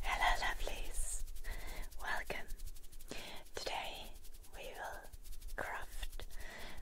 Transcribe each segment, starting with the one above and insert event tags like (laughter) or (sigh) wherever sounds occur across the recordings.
Hello, lovelies! Welcome! Today we will craft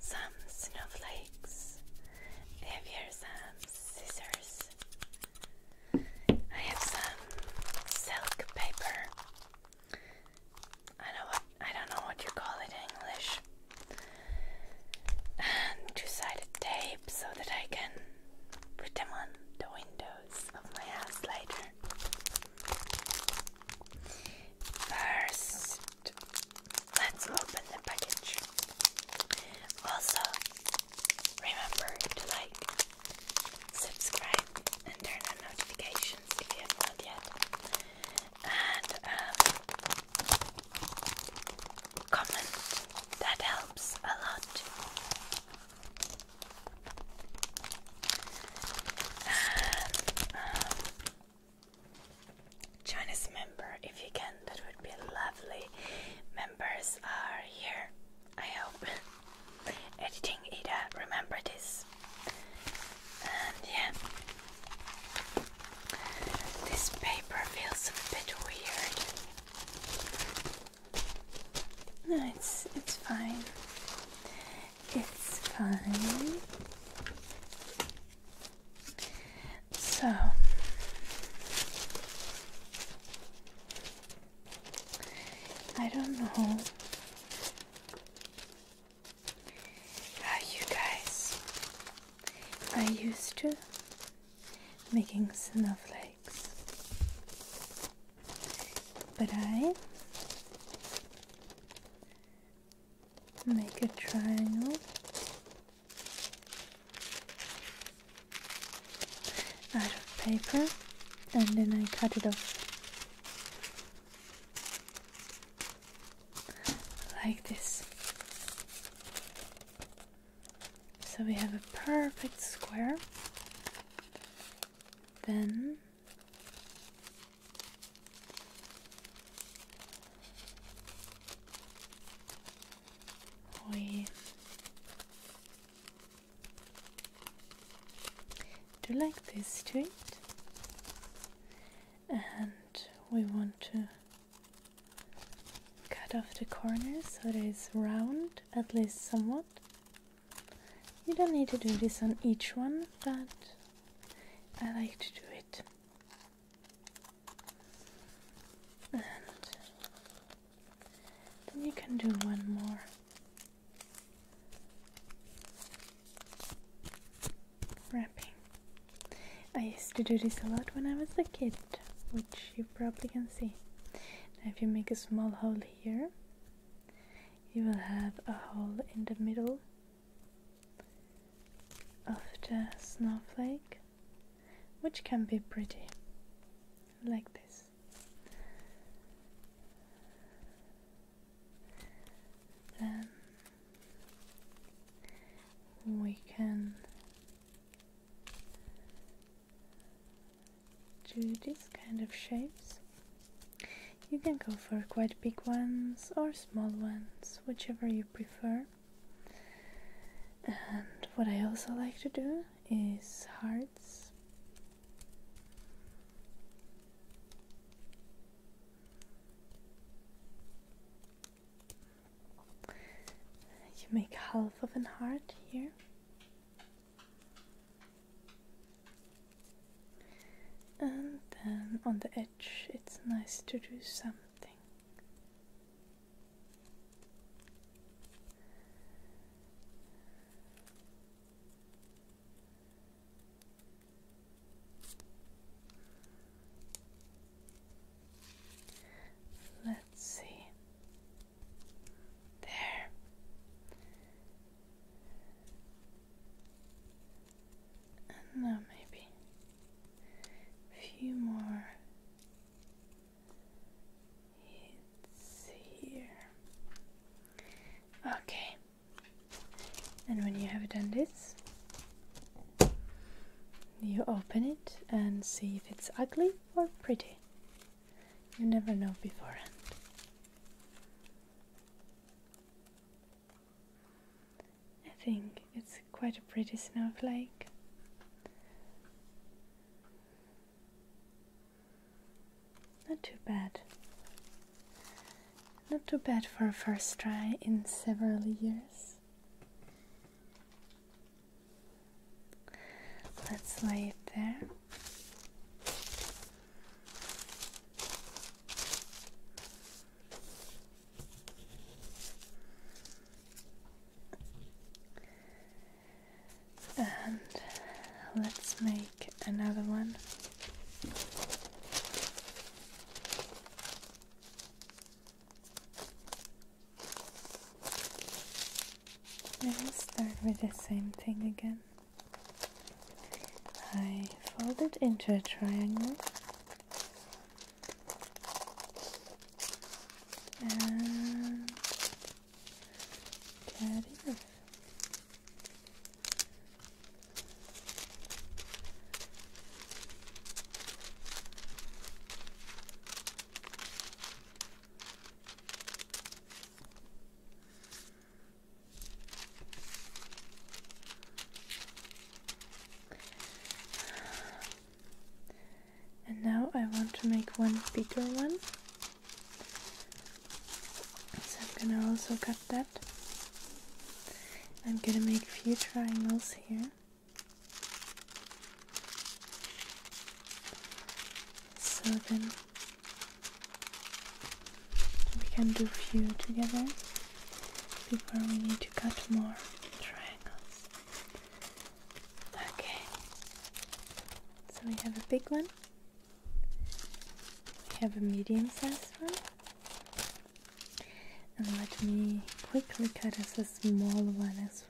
some snowflakes. I Have here some scissors. I have some silk paper. I don't know what you call it in English. And two-sided tape so that I can put them on the windows of my house later. First, let's open the package. Also, remember to like, subscribe, and turn on notifications if you have not yet. And um, comment. That helps a lot. And, um, um, member if you can. That would be lovely. Members are here. I hope. (laughs) Editing Ada, remember this. And yeah, this paper feels a bit weird. No, it's it's fine. It's fine. So I don't know how you guys are used to making snowflakes. But I make a triangle. Out of paper, and then I cut it off like this. So we have a perfect square. Then we do like this to it, and we want to cut off the corners so it is round at least somewhat. You don't need to do this on each one, but I like to do it. And then you can do one more. Wrapping. I used to do this a lot when I was a kid, which probably can see. if you make a small hole here, you will have a hole in the middle of the snowflake, which can be pretty, like this. Then we can to these kind of shapes. You can go for quite big ones or small ones, whichever you prefer. And what I also like to do is hearts. You make half of an heart here. And then on the edge, it's nice to do something. Let's see. There. And maybe few more hits here. Okay. And when you have done this, you open it and see if it's ugly or pretty. You never know beforehand. I think it's quite a pretty snowflake. Not too bad. Not too bad for a first try in several years. Let's lay it there. And let's make another one let will start with the same thing again. I fold it into a triangle and cut it and now I want to make one bigger one. So I'm gonna also cut that. I'm gonna make a few triangles here. So then we can do few together before we need to cut more triangles. Okay. So we have a big one. We have a medium-sized one. And let me quickly cut us a small one as well.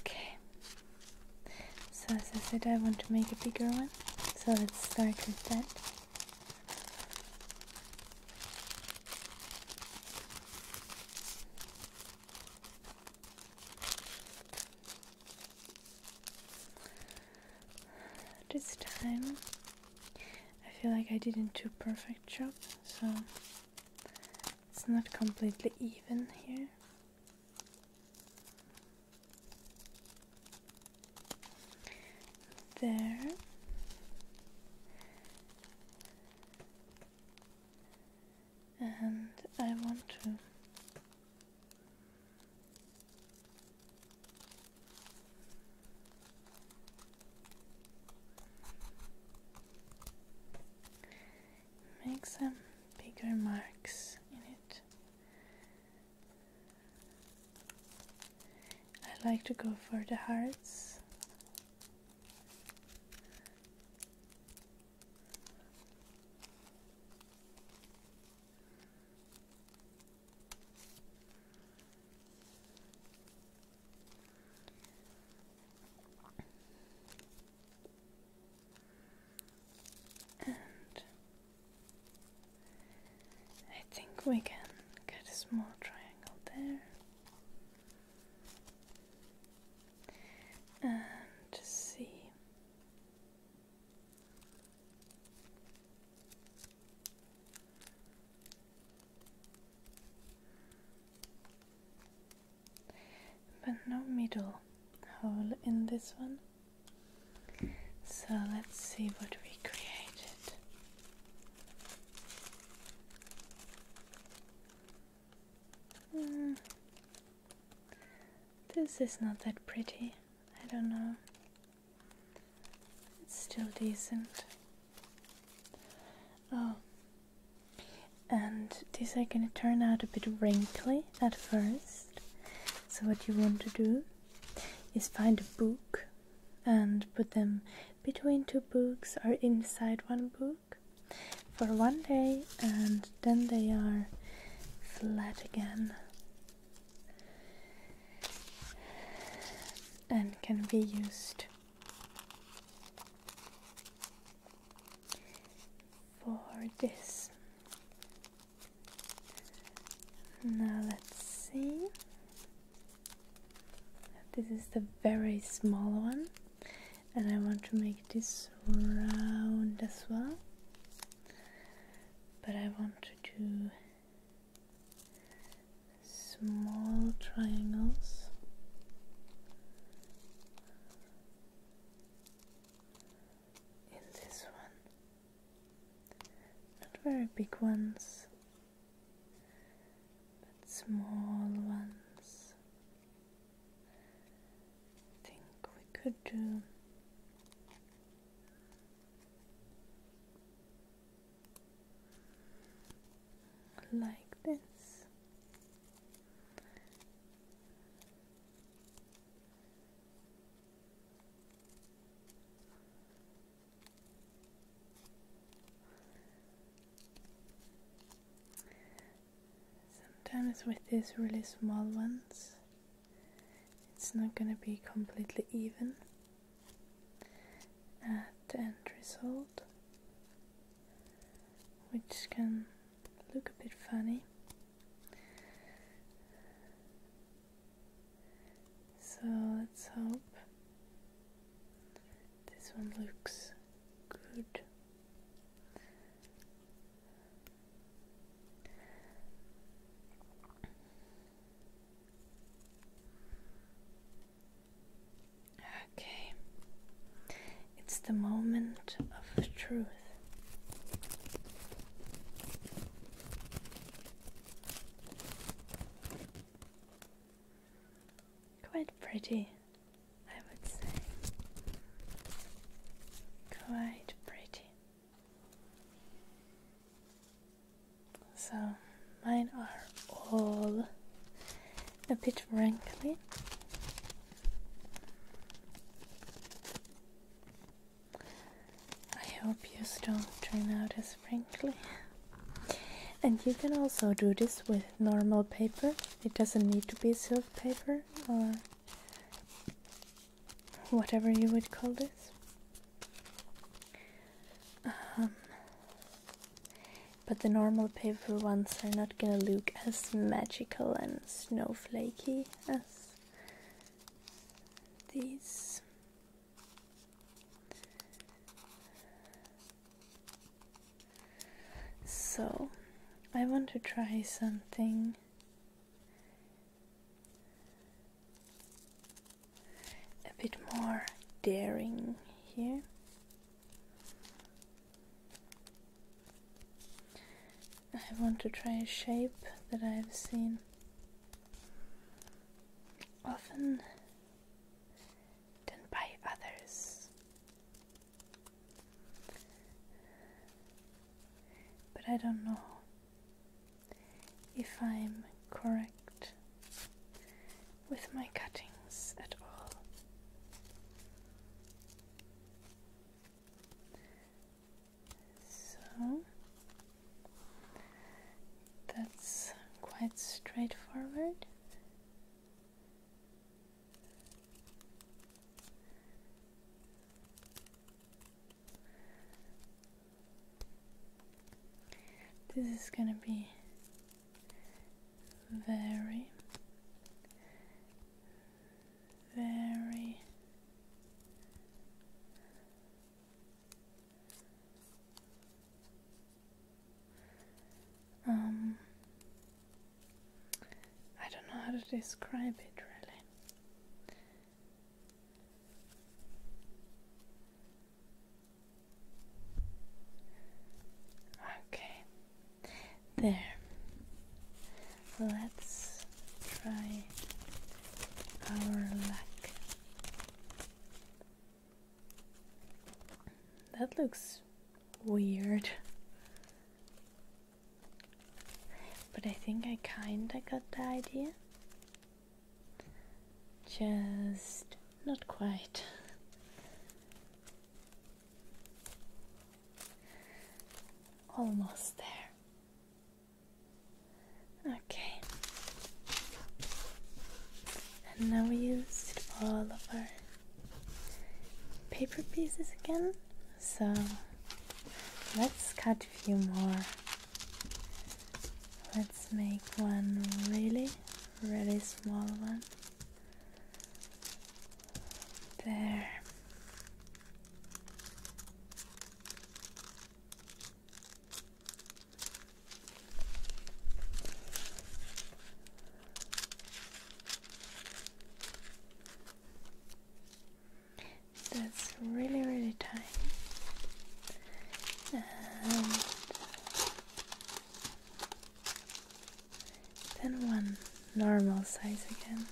Okay, so as I said, I want to make a bigger one, so let's start with that. This time I feel like I didn't do perfect job, so it's not completely even here. There and I want to make some bigger marks in it. I like to go for the hearts and I think we can get a small triangle there and see. But no middle hole in this one. So let's see what we created. Uh, this is not that pretty. I don't know. It's still decent. Oh. And these are gonna turn out a bit wrinkly at first. So what you want to do is find a book and put them between two books or inside one book for one day and then they are flat again and can be used for this. Now let's see. This is the very small one and I want to make this round as well but I want to do small triangles in this one not very big ones but small ones I think we could do like this. Sometimes with these really small ones, it's not going to be completely even at the end result, which can look a bit funny. So let's hope this one looks good. Okay, it's the moment of truth. Quite pretty, I would say. Quite pretty. So mine are all a bit wrinkly. I hope yours don't turn out as wrinkly. And you can also do this with normal paper. It doesn't need to be silk paper or whatever you would call this. Um, but the normal paper ones are not gonna look as magical and snowflakey as these. So, I want to try something a bit more daring here. I want to try a shape that I've seen often done by others. But I don't know if I'm correct with my cuttings at all. So that's quite straightforward. This is going to be very, very um, I don't know how to describe it really. Okay, there. Let's try our luck. That looks weird. But I think I kinda got the idea. Just not quite. Almost there. Okay. And now we used all of our paper pieces again. So let's cut a few more. Let's make one really, really small one. There. That's really, really tight. And then one normal size again.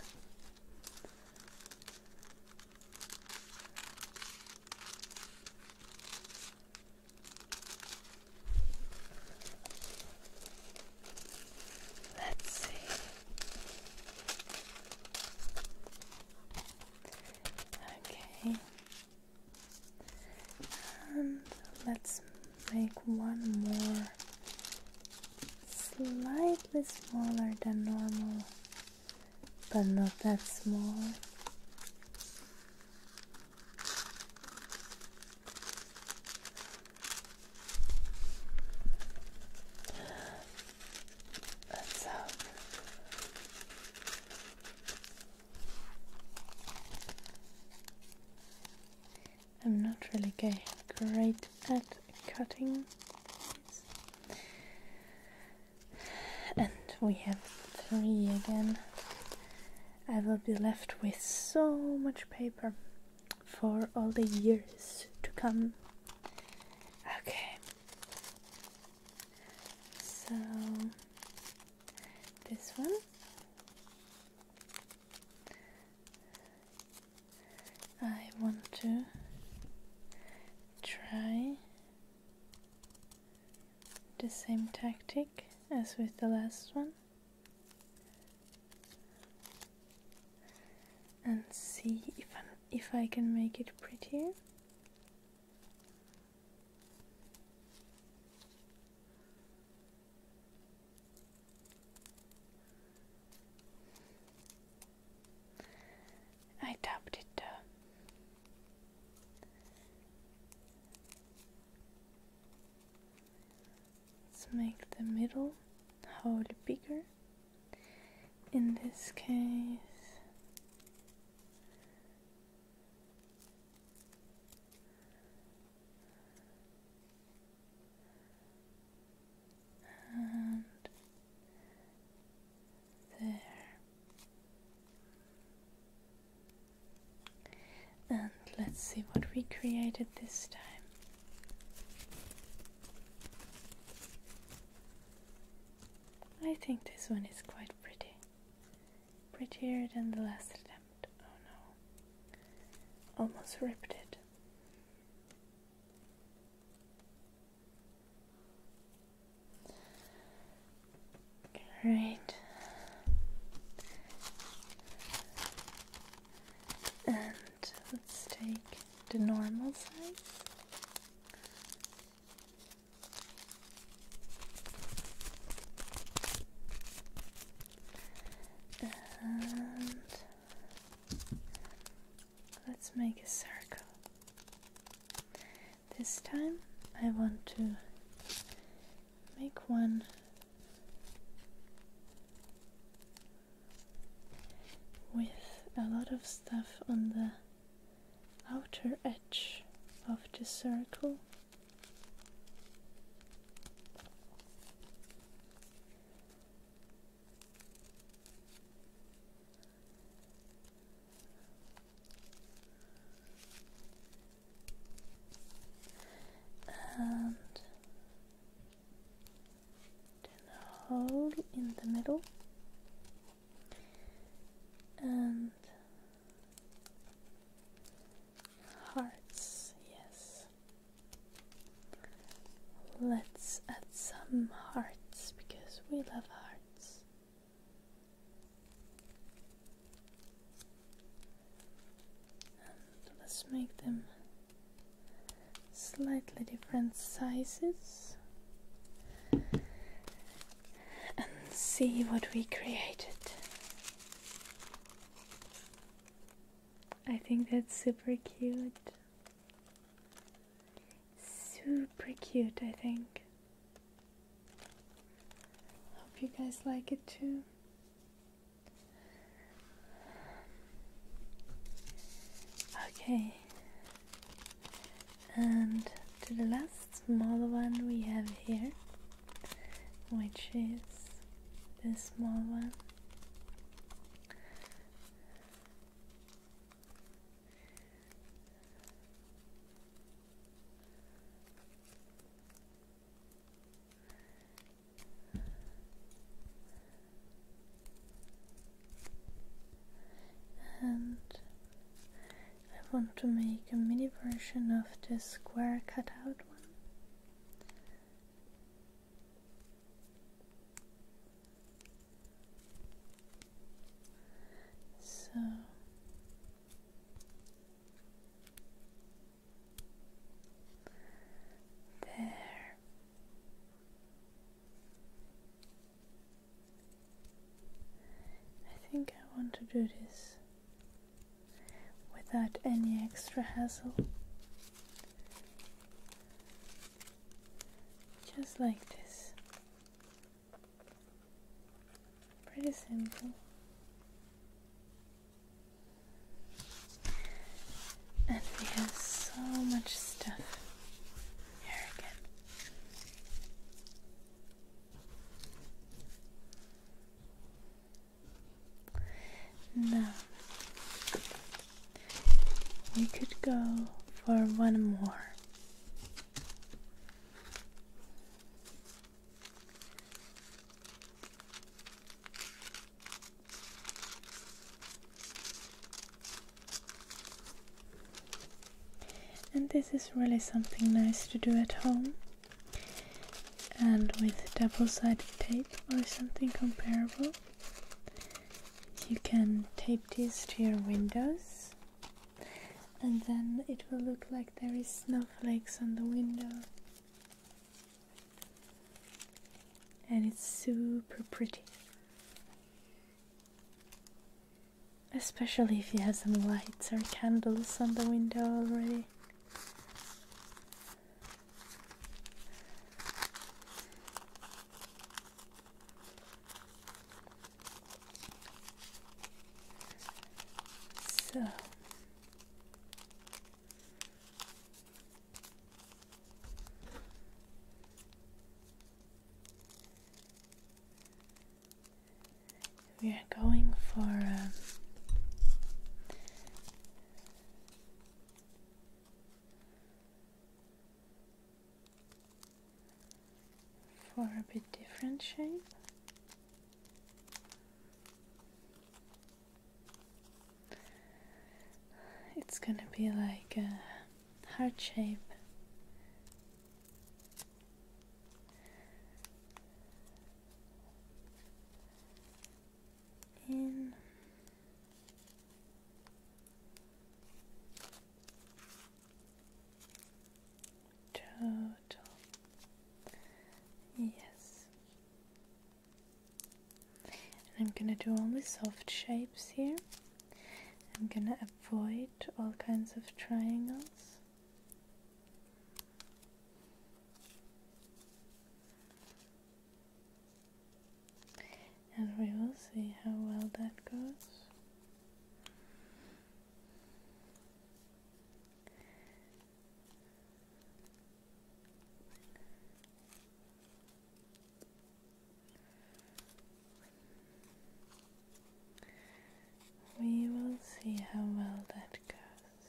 Let's see. Okay. And let's make one more slightly smaller than normal, but not that small. I'm not really great at cutting and we have three again. I will be left with so much paper for all the years to come. Okay, so this one. I want to try the same tactic as with the last one and see if i if I can make it prettier. I tapped it though. Let's make the middle hole bigger. In this case, and there. And let's see what we created this time. I think this one is quite pretty. Prettier than the last attempt. Oh no. Almost ripped it. Great. And let's take the normal size. And let's make a circle. This time I want to make one with a lot of stuff on the outer edge of the circle. And then a hole in the middle and hearts, yes. Let's add some hearts because we love hearts let's make them slightly different sizes and see what we created. I think that's super cute. Super cute, I think. Hope you guys like it too. Okay, and to the last small one we have here, which is this small one. And I want to make a mini version of this square cutout one. So there. I think I want to do this without any extra hassle. Just like this. Pretty simple. And we have so much stuff here again. Now, we could go for one more. And this is really something nice to do at home and with double-sided tape or something comparable. You can tape these to your windows and then it will look like there is snowflakes on the window and it's super pretty. Especially if you have some lights or candles on the window already. So we are going for um, for a bit different shape. It's gonna be like a heart shape. In total, yes, and I'm gonna do only soft shapes here. I'm gonna avoid all kinds of triangles. And we will see how well that goes. We will see how well that goes.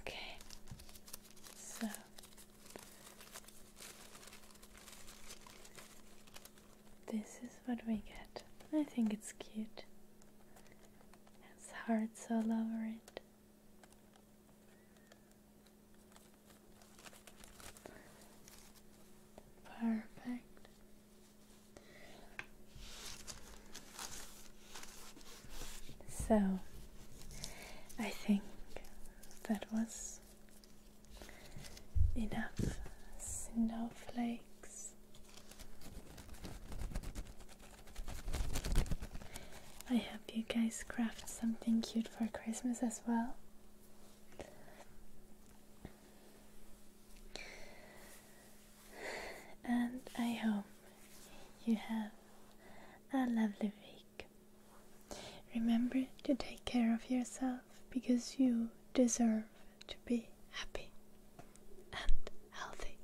Okay, so this is what we get. I think it's cute. His hearts all over it. Perfect. So, I think that was enough snowflakes I hope you guys craft something cute for Christmas as well. And I hope you have a lovely week. Remember to take care of yourself because you deserve to be happy and healthy.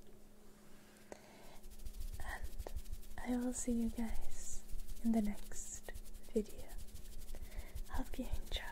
And I will see you guys in the next video. Hope you enjoyed.